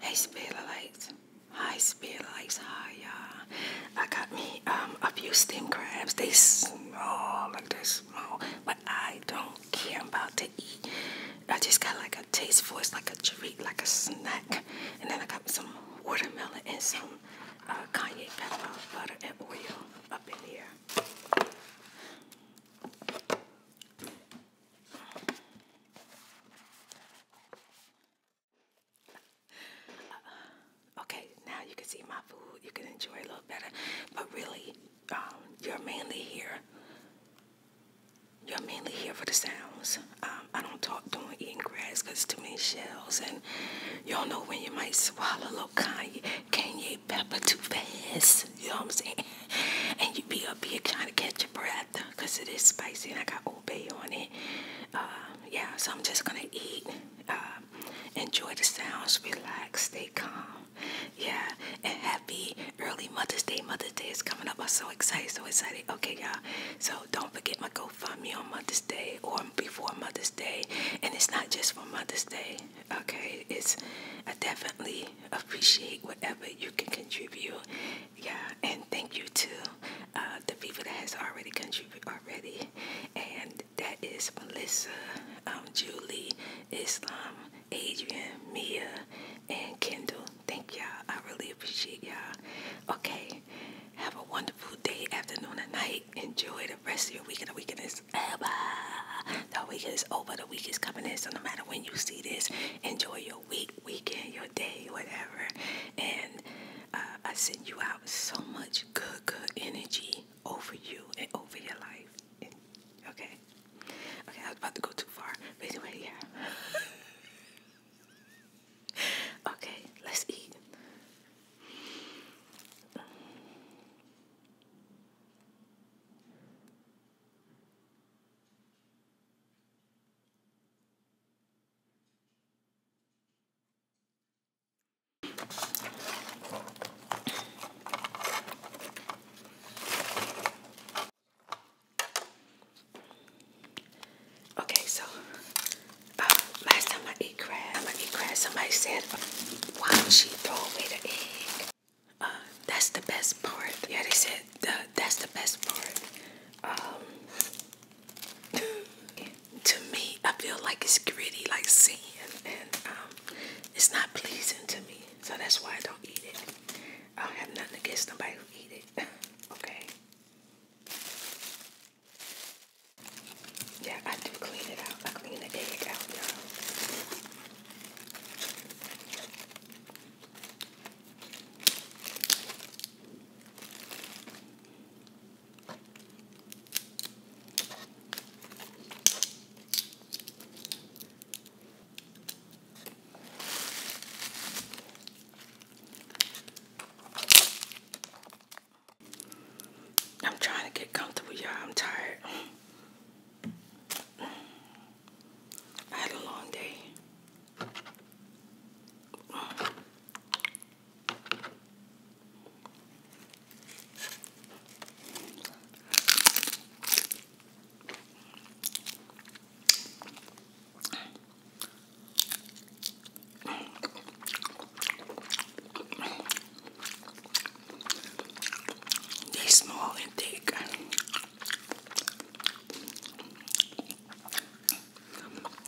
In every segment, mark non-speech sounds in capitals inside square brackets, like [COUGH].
Hey speed lights. Hi speed lights. Hi y'all. I got me um a few steam crabs. They small like they small. But I don't don't about to eat. I just got like a taste for it, like a treat, like a snack. And then I got some watermelon and some uh, cayenne pepper, butter, and oil up in here. Uh-uh. okay, now you can see my food. You can enjoy a little better. But really, um, you're mainly here. You're mainly here for the sounds. Um, I don't talk during eating grass because too many shells, and you don't know when you might swallow a little Kanye, Kanye pepper too fast. You know what I'm saying? [LAUGHS] And you be a here kind of catch your breath because it is spicy, and I got obey on it. Uh, yeah, so I'm just gonna eat, uh, enjoy the sounds, relax, stay calm. Yeah, and happy early Mother's Day. Mother's Day is coming up. I'm so excited, so excited. Okay, y'all. So don't forget my GoFundMe on Mother's Day or before Mother's Day. And it's not just for Mother's Day. Okay, it's I definitely appreciate whatever you can contribute. Yeah, and thank you to uh, the people that has already contributed already. And that is Melissa, um, Julie, Islam, Adrian, Mia, and Kendall. Thank y'all. I really appreciate y'all. Okay. Have a wonderful day, afternoon, and night. Enjoy the rest of your weekend. The weekend is over. The weekend is over. The week is coming in. So no matter when you see this, enjoy your week, weekend, your day, whatever. And uh, I send you out so much good, good energy over you and over your life okay. Okay, I was about to go too far. But anyway, yeah. [LAUGHS] okay, let's eat. Okay, so uh, last time I eat crab, Somebody said, "Why would she throw away the egg?" Uh, that's the best part. Yeah, they said that's the best part. Um, [LAUGHS] to me, I feel like it's gritty, like sand, and um, it's not pleasing to me. So that's why I don't eat it. I don't have nothing against nobody who eat it. [LAUGHS] okay. Yeah, I do clean it out. I clean the egg out, y'all. I'm trying to get comfortable, y'all. I'm tired. I had a long day. They are small and thick.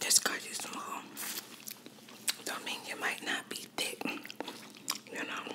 This cause you small don't mean you might not be thick, you know.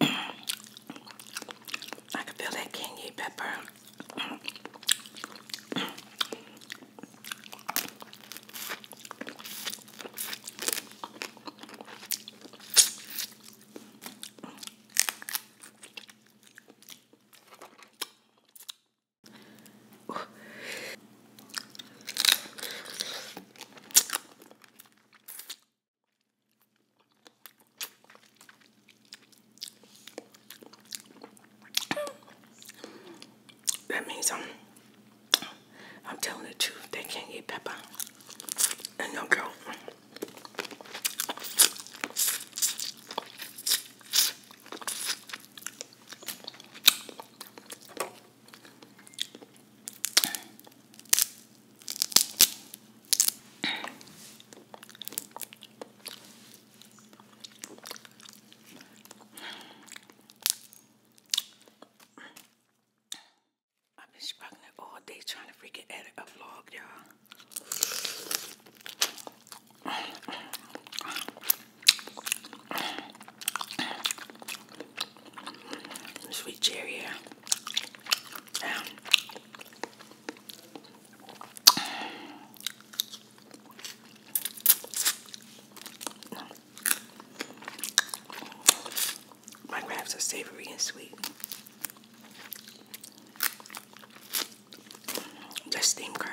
I can feel that candy pepper. That means I'm I'm telling the truth. They can't eat pepper and no girl. I've been it all day trying to freaking edit a vlog, y'all sweet cherry um, my wraps are savory and sweet. Just steam crab.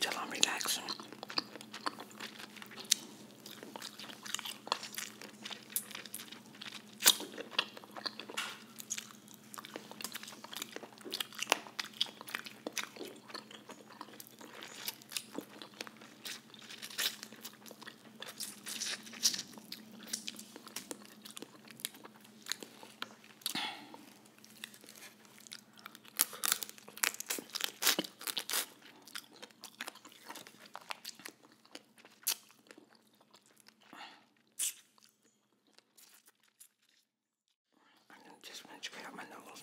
till I'm relaxing. I just went straight out my nose.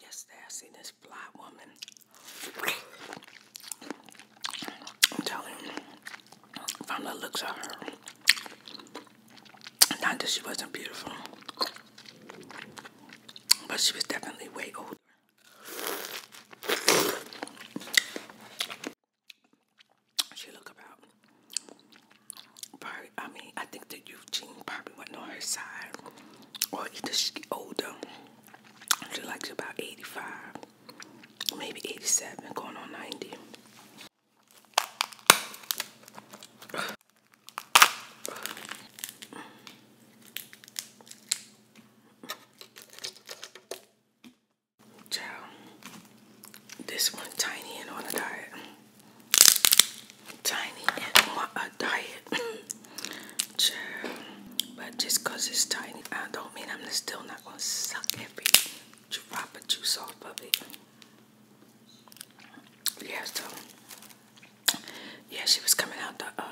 Yesterday I seen this fly woman. I'm telling you, from the looks of her, not that she wasn't beautiful, but she was definitely way older. She look about. I mean, I think that Eugene probably went on her side, or either she older. She likes about eighty-five, maybe eighty-seven, going on ninety. Child, this one tiny and on a diet. Tiny and on a diet. Child, [COUGHS] but just cause it's tiny, I don't mean I'm still not gonna suck every drop of juice off of it. Yeah, so yeah, she was coming out the uh,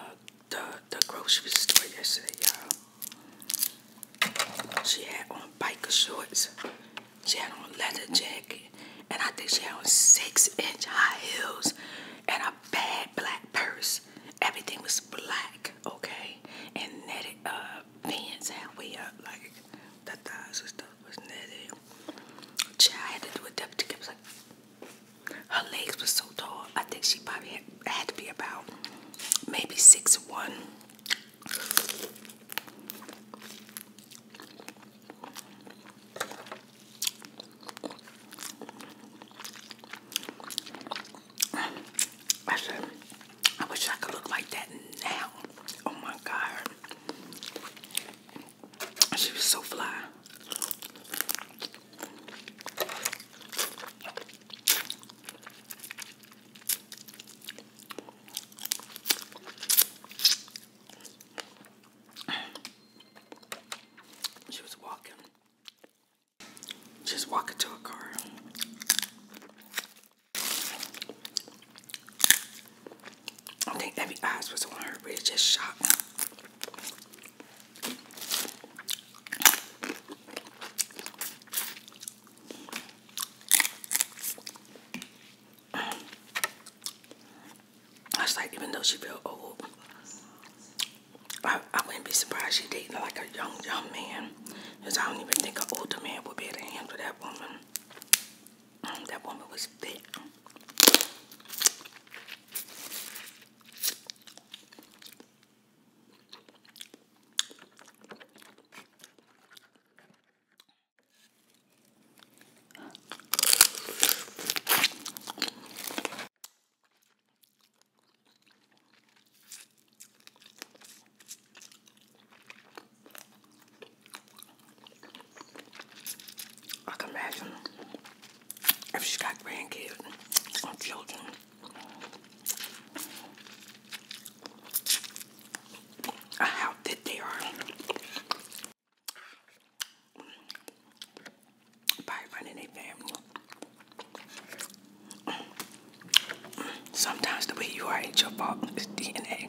the the grocery store yesterday, y'all. She had on biker shorts. She had on leather jacket, and I think she had on six-inch high heels and a bad black purse. Everything was black, okay, and netted uh pants halfway up, like the thighs and stuff was netted. Child, I had to do a depth to her legs were so tall. I think she probably had, to be about maybe six one. I said, I wish I could look like that now. Oh my God. She was so fly. She was walking. Just walking to a car. I think every eyes was on her, but it just shocked I was like, even though she feel old, I, I wouldn't be surprised she dating like a young, young man. Because I don't even think an older man would be able to handle that woman. Mm, that woman was thick. I can imagine if she got grandkids or children. Uh, how thick they are. By running a family. Sometimes the way you are ain't your fault. It's DNA.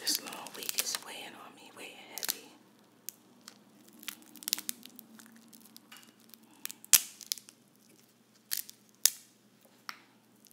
This long week is weighing on me, weighing heavy.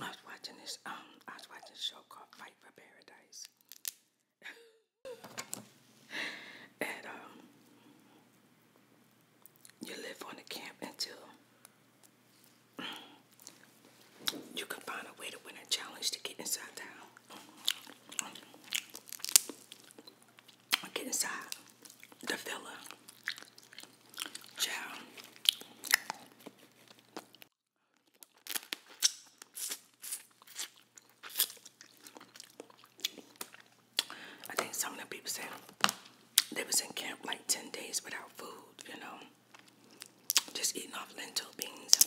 I was watching this, um, I was watching a show called Fight for Paradise. [LAUGHS] and um you live on the camp until [CLEARS THROAT] you can find a way to win a challenge to get inside town. Get inside the villa. Ciao. I think some of the people said they was in camp like 10 days without food, you know. Just eating off lentil beans.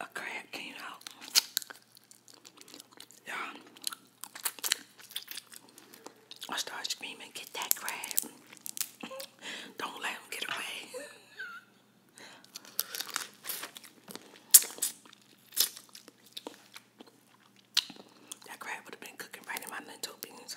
A crab came out. Yeah, I start screaming, get that crab. Don't let him get away. that crab would have been cooking right in my lentil beans.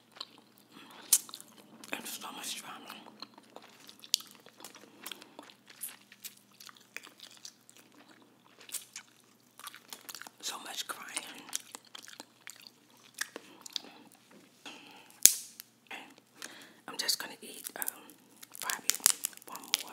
so much drama. So much crying. I'm just gonna eat um, one more.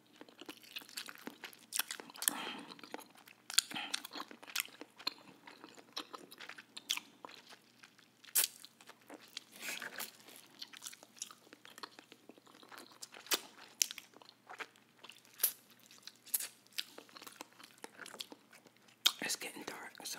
It's getting dark, so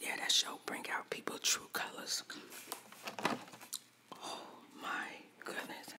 Yeah, that show bring out people true colors. Oh my goodness.